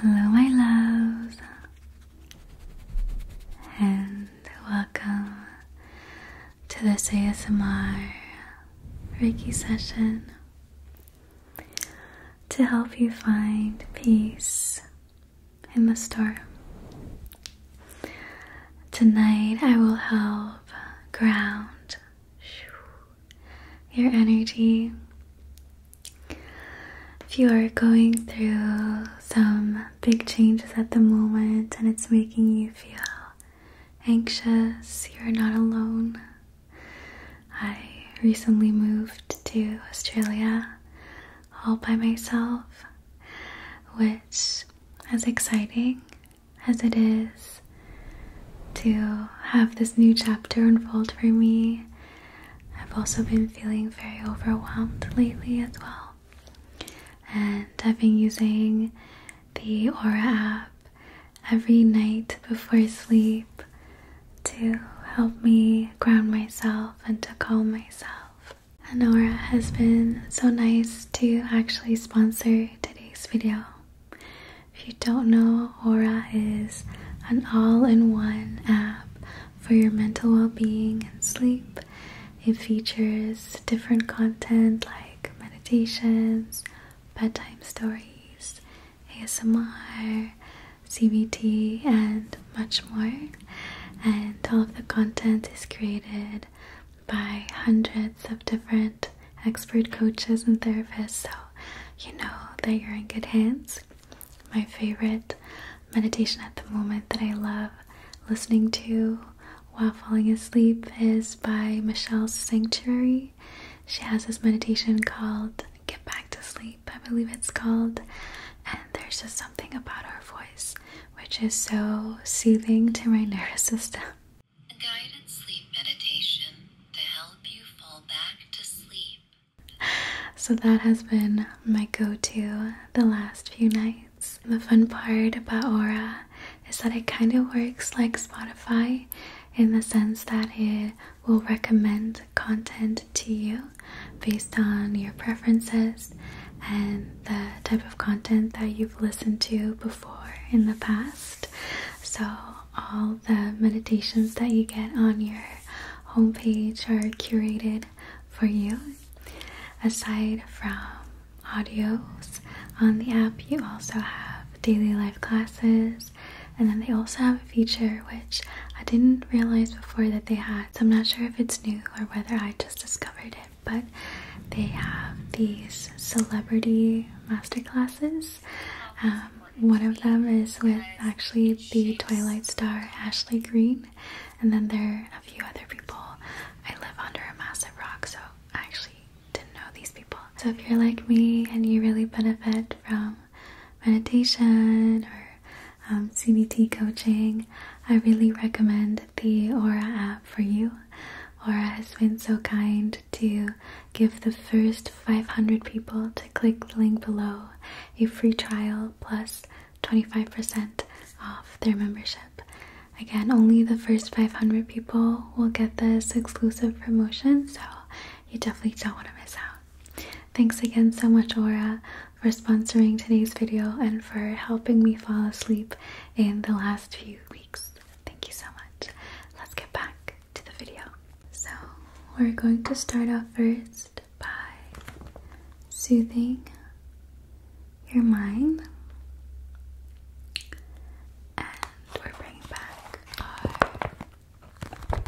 Hello, my loves, and welcome to this ASMR Reiki session to help you find peace in the storm. Tonight, I will help ground your energy if you are going through some big changes at the moment and it's making you feel anxious, you're not alone. I recently moved to Australia all by myself, which, as exciting as it is to have this new chapter unfold for me, I've also been feeling very overwhelmed lately as well. And I've been using the Aura app every night before sleep to help me ground myself and to calm myself. And Aura has been so nice to actually sponsor today's video. If you don't know Aura is an all in one app for your mental well being and sleep. It features different content like meditations, bedtime stories, ASMR, CBT, and much more. And all of the content is created by hundreds of different expert coaches and therapists, so you know that you're in good hands my favorite meditation at the moment that I love listening to while falling asleep is by Michelle's Sanctuary. She has this meditation called Get Back to Sleep, I believe it's called. And there's just something about her voice which is so soothing to my nervous system. guided sleep meditation to help you fall back to sleep. So that has been my go to the last few nights. The fun part about Aura is that it kind of works like Spotify in the sense that it will recommend content to you based on your preferences and the type of content that you've listened to before in the past. So, all the meditations that you get on your homepage are curated for you. Aside from audios on the app, you also have daily life classes, and then they also have a feature which I didn't realize before that they had, so I'm not sure if it's new or whether I just discovered it, but they have these celebrity masterclasses. Um, one of them is with actually the Twilight Star Ashley Green, and then there are a few other people. I live under a massive rock, so I actually didn't know these people. So if you're like me and you really benefit from meditation or um, CBT coaching, I really recommend the Aura app for you. Aura has been so kind to give the first 500 people to click the link below a free trial plus 25% off their membership. Again, only the first 500 people will get this exclusive promotion, so you definitely don't want to miss out. Thanks again so much, Aura, for sponsoring today's video and for helping me fall asleep in the last few weeks. Thank you so much. Let's get back to the video. So, we're going to start off first by soothing your mind. And we're bringing back our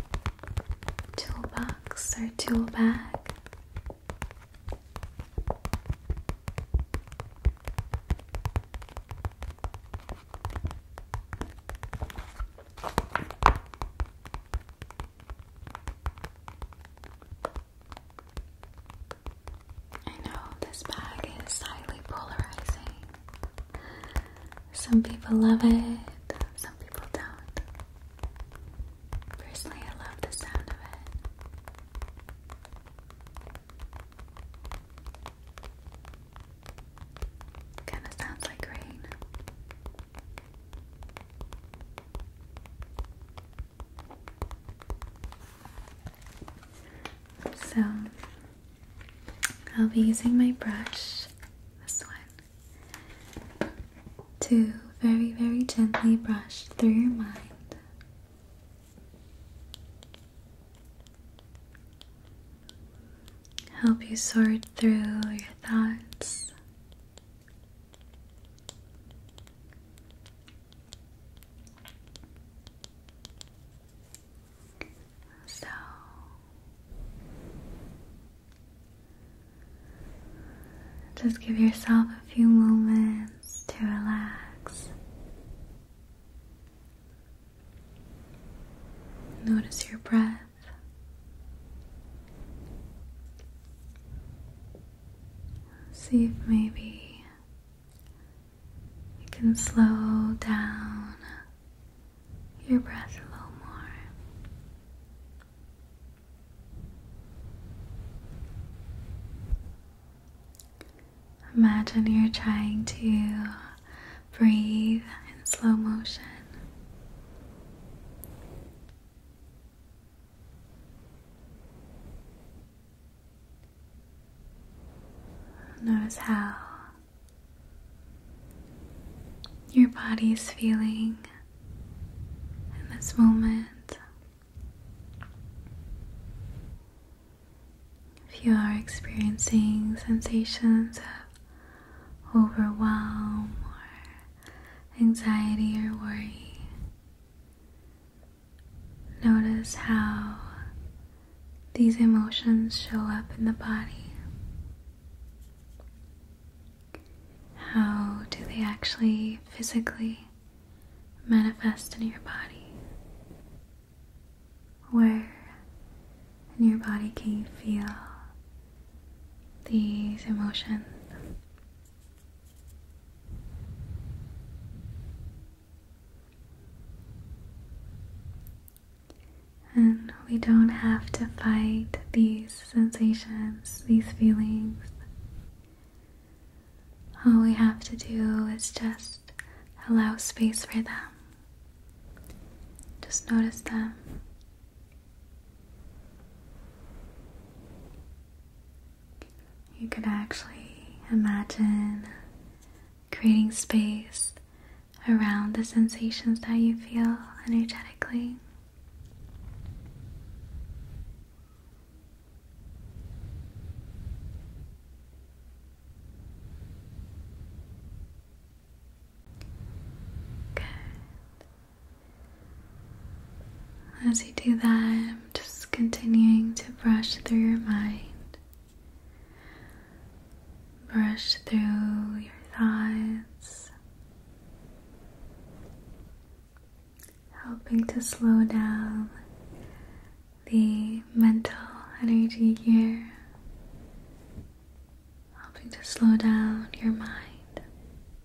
toolbox, our tool bag. I know this bag is highly polarizing. Some people love it, some people don't. Personally, I love the sound of it. Kind of sounds like rain. So I'll be using my brush, this one, to very, very gently brush through your mind. Help you sort through your thoughts so just give yourself a few moments to relax. Notice your breath. See if maybe you can slow down your breath a little more. Imagine you're trying to breathe in slow motion. Notice how your body is feeling in this moment. If you are experiencing sensations of overwhelm or anxiety or worry. Notice how these emotions show up in the body. How do they actually physically manifest in your body? Where in your body can you feel these emotions. And we don't have to fight these sensations, these feelings. All we have to do is just allow space for them. Just notice them. You could actually imagine creating space around the sensations that you feel energetically. Good. As you do that, I'm just continuing to brush through your mind, brush through your thoughts, helping to slow down the mental energy here, helping to slow down your mind.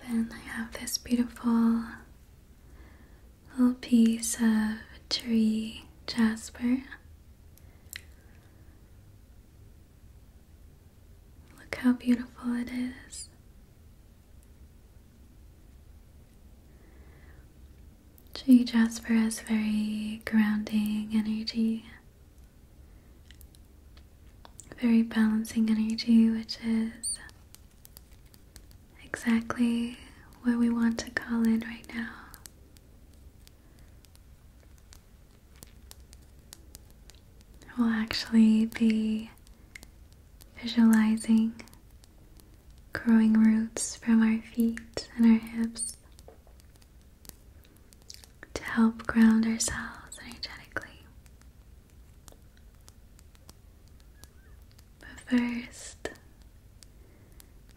Then I have this beautiful little piece of tree jasper. Look how beautiful it is. Tree jasper has very grounding energy, very balancing energy, which is exactly where we want to call in right now. We'll actually be visualizing growing roots from our feet and our hips to help ground ourselves energetically. But first,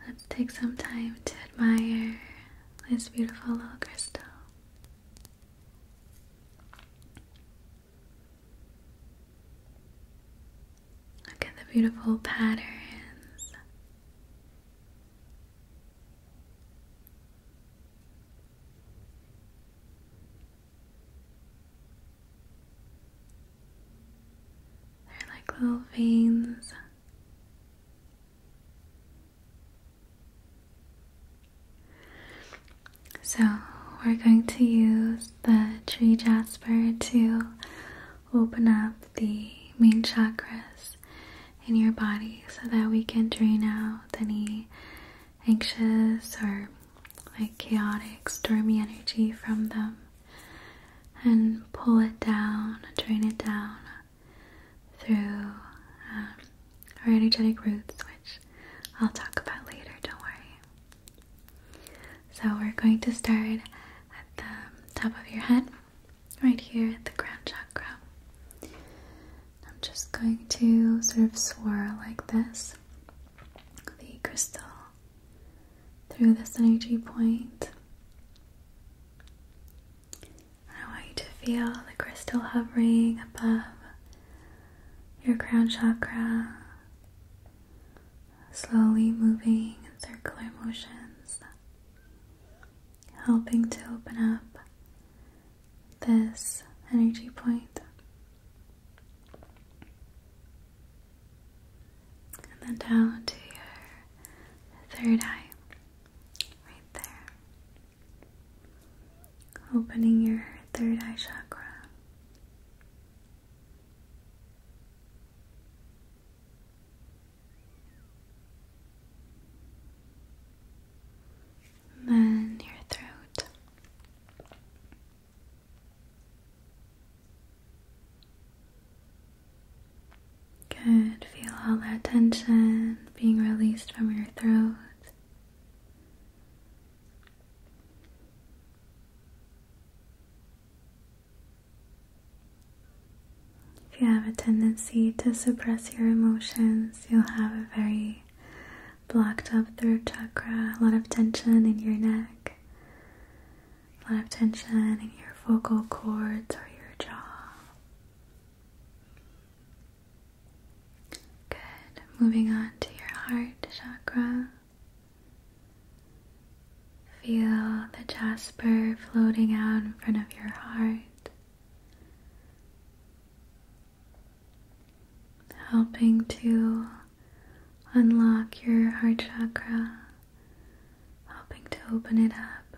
let's take some time to admire this beautiful little crystal. Look at the beautiful patterns. They're like little veins. So, we're going to use the tree jasper to open up the main chakras in your body so that we can drain out any anxious or like chaotic, stormy energy from them and pull it down, drain it down through um, our energetic roots, which I'll talk about later, don't worry. So, we're going to start at the top of your head, right here at the crown chakra. I'm just going to sort of swirl like this the crystal through this energy point. I want you to feel the crystal hovering above your crown chakra, slowly moving in circular motions, helping to open up this energy point. And then down to your third eye, right there. Opening your third eye chakra. then your throat. Good. Feel all that tension being released from your throat. If you have a tendency to suppress your emotions, you'll have a very blocked up throat chakra, a lot of tension in your neck, a lot of tension in your vocal cords or your jaw. Good. Moving on to your heart chakra. Feel the jasper floating out in front of your heart helping to unlock your heart chakra, helping to open it up.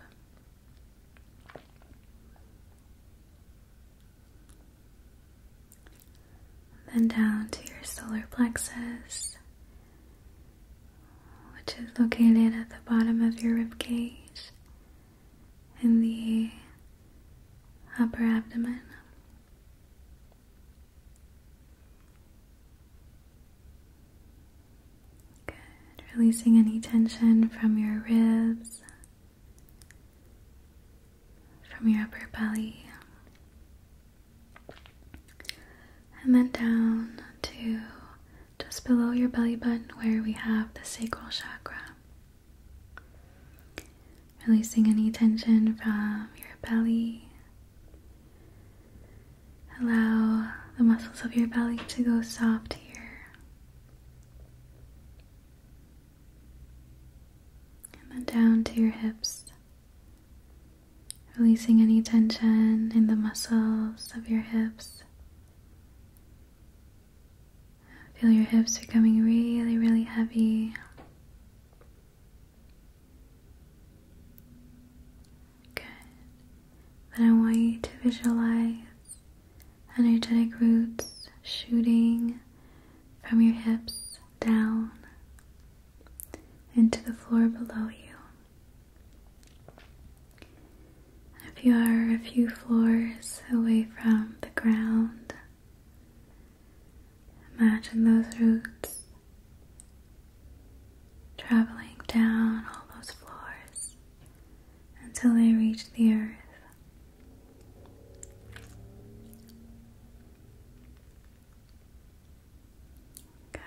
Then down to your solar plexus, which is located at the bottom of your rib cage in the upper abdomen. Good. Releasing any tension from your ribs, from your upper belly, and then down to just below your belly button where we have the sacral chakra. Releasing any tension from your belly. Allow the muscles of your belly to go soft here. And then down to your hips. Releasing any tension in the muscles of your hips. Feel your hips becoming really, really heavy. Good. Then I want you to visualize energetic roots shooting from your hips down into the floor below you. If you are a few floors away from the ground, Imagine those roots traveling down all those floors until they reach the earth. Okay.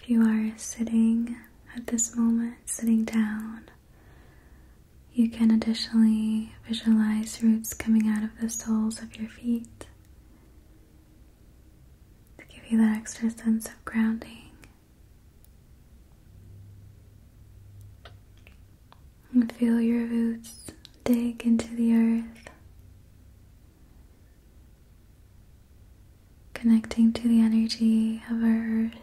If you are sitting at this moment, sitting down, you can additionally visualize roots coming out of the soles of your feet to give you that extra sense of grounding. And feel your roots dig into the earth, connecting to the energy of our earth.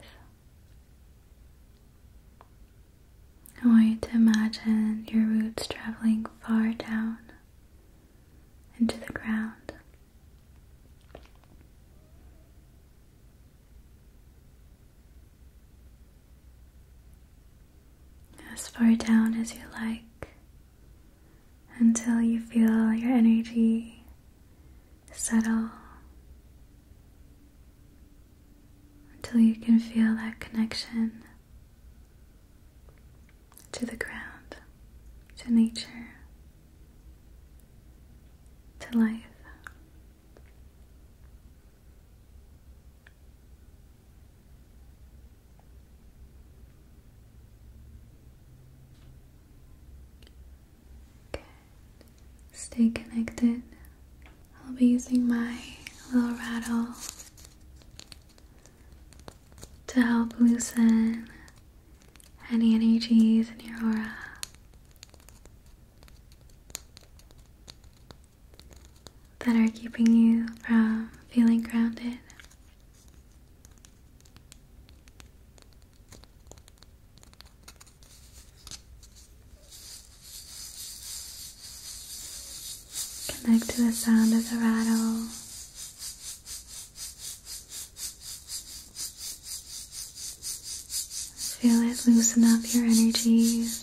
I want you to imagine your roots traveling far down into the ground. As far down as you like until you feel your energy settle until you can feel that connection to the ground, to nature, to life. Good. Stay connected I'll be using my little rattle to help loosen any energies in your aura. That are keeping you from feeling grounded. Connect to the sound of the rattle. Feel it loosen up your energies.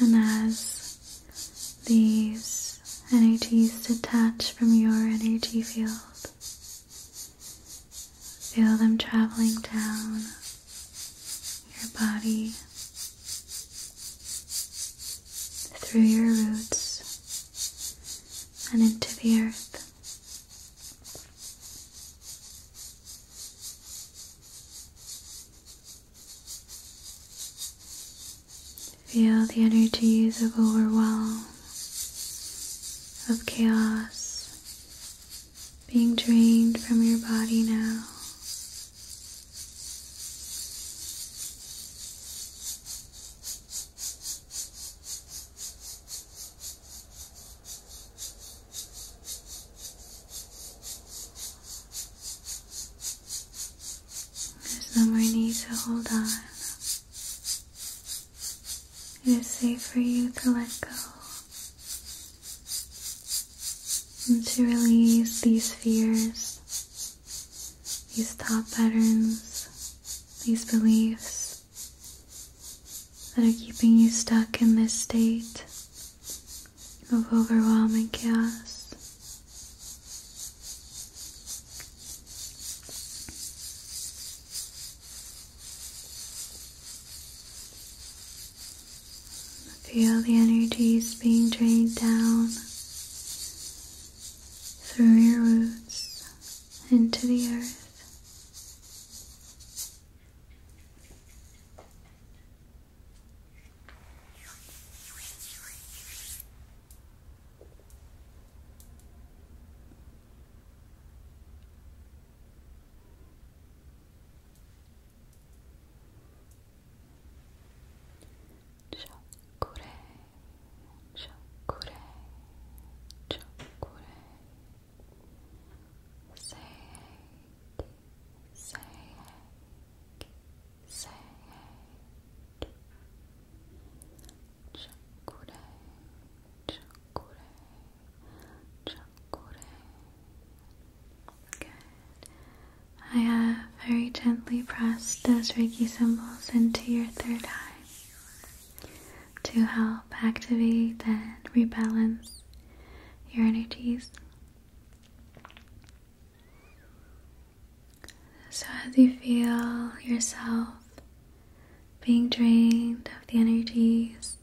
And as these energies detach from your energy field, Feel them traveling down your body, through your roots, and into the earth. Feel the energies of overwhelm, of chaos, being drained from your body now. There's no more need to hold on. It is safe for you to let go and to release these fears, these thought patterns, these beliefs that are keeping you stuck in this state of overwhelming chaos. Feel the energies being drained down through your roots into the earth. Chakure, chakure, chakure. Say, say, say. Chakure, chakure, I have uh, very gently pressed those Reiki symbols into your third eye to help activate and rebalance your energies. So, as you feel yourself being drained of the energies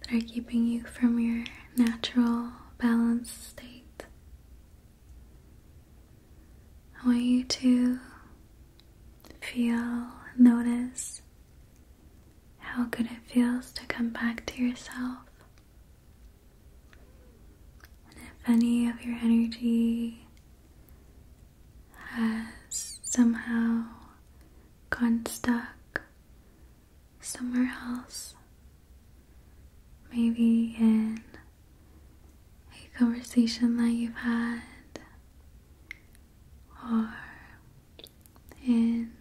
that are keeping you from your natural, balanced state. I want you to feel, notice how good it feels to come back to yourself. And if any of your energy has somehow gotten stuck somewhere else, maybe in a conversation that you've had, or in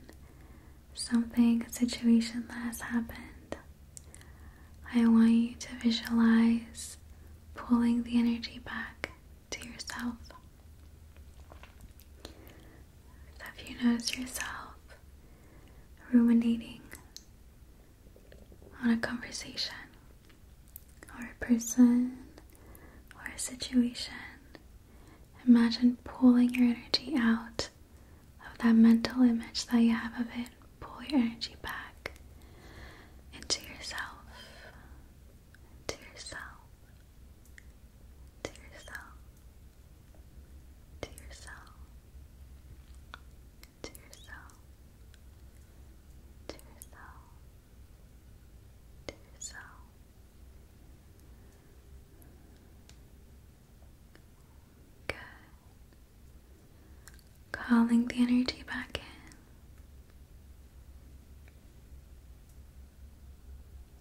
something, a situation that has happened. I want you to visualize pulling the energy back to yourself that you notice yourself ruminating on a conversation or a person or a situation, imagine pulling your energy out of that mental image that you have of it. Pull your energy back into yourself to yourself, to yourself, to yourself, to yourself, to yourself, to yourself. Good. Calling the energy back in.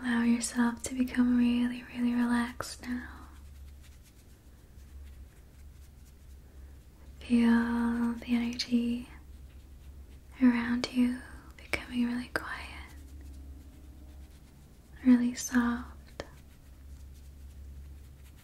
Allow yourself to become really, really relaxed now. Feel the energy around you becoming really quiet, really soft.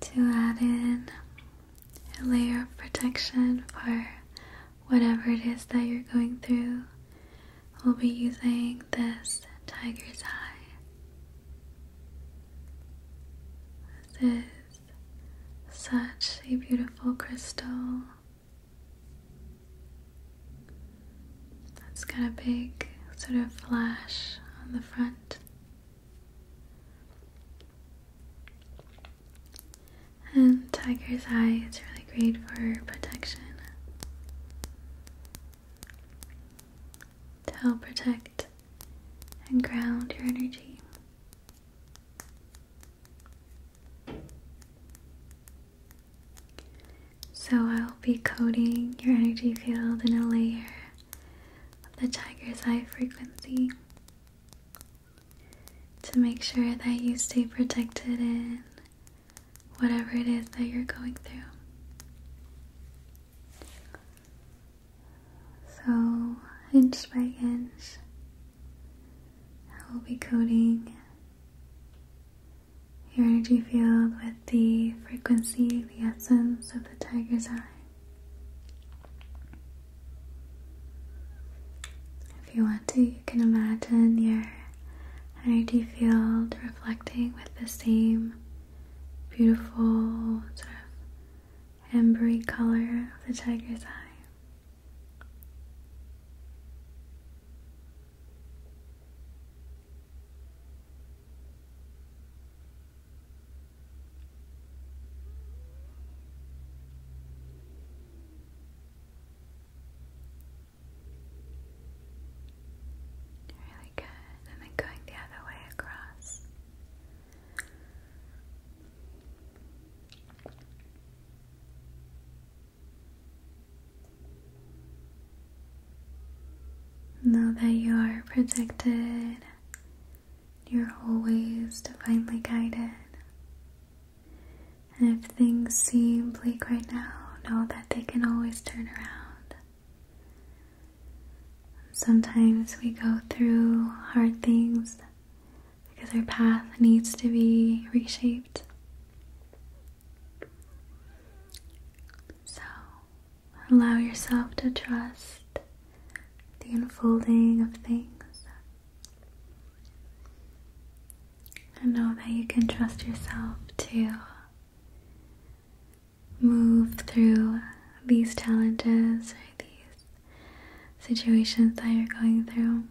to add in a layer of protection for whatever it is that you're going through, we'll be using this tiger's eye. This is such a beautiful crystal it has got a big sort of flash on the front. And tiger's eye It's really great for protection to help protect and ground your energy. So I will be coding your energy field in a layer of the tiger's eye frequency to make sure that you stay protected in whatever it is that you're going through. So, inch by inch, I will be coding your energy field with the frequency, the essence of the tiger's eye. If you want to, you can imagine your energy field reflecting with the same beautiful sort of ambery color of the tiger's eye. Really good, and then going the other way across. Know that you are protected, you're always divinely guided. And if things seem bleak right now, know that they can always turn around. Sometimes we go through hard things because our path needs to be reshaped. So, Allow yourself to trust the unfolding of things and know that you can trust yourself to move through these challenges or these situations that you're going through.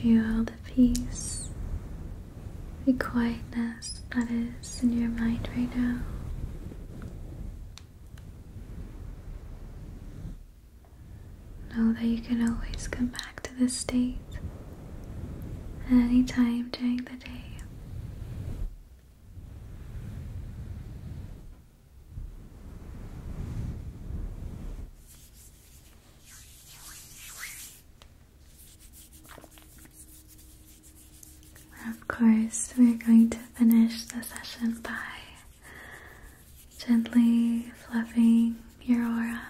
Feel the peace, the quietness that is in your mind right now. Know that you can always come back to this state at any time during the day. of course, we're going to finish the session by gently fluffing your aura.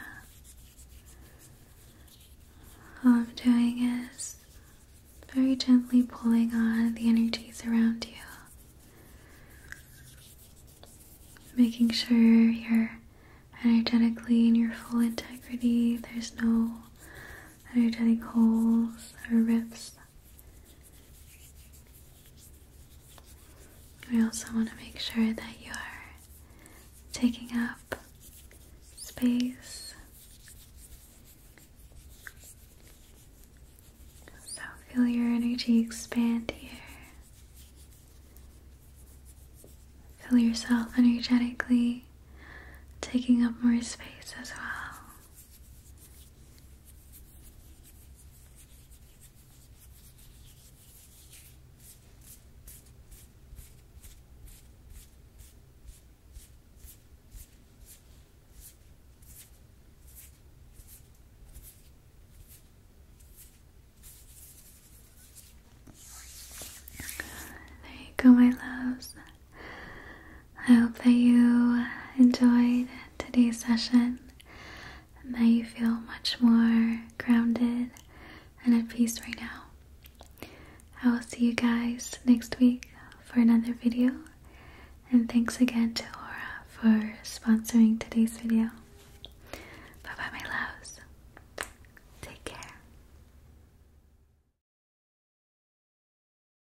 All I'm doing is very gently pulling on the energies around you, making sure you're energetically in your full integrity, there's no energetic holes or rips we also want to make sure that you are taking up space. So feel your energy expand here. Feel yourself energetically taking up more space as well. There you go, my loves. I hope that you enjoyed today's session and that you feel much more grounded and at peace right now. I will see you guys next week for another video, and thanks again to Aura for sponsoring today's video. Bye bye, my loves. Take care.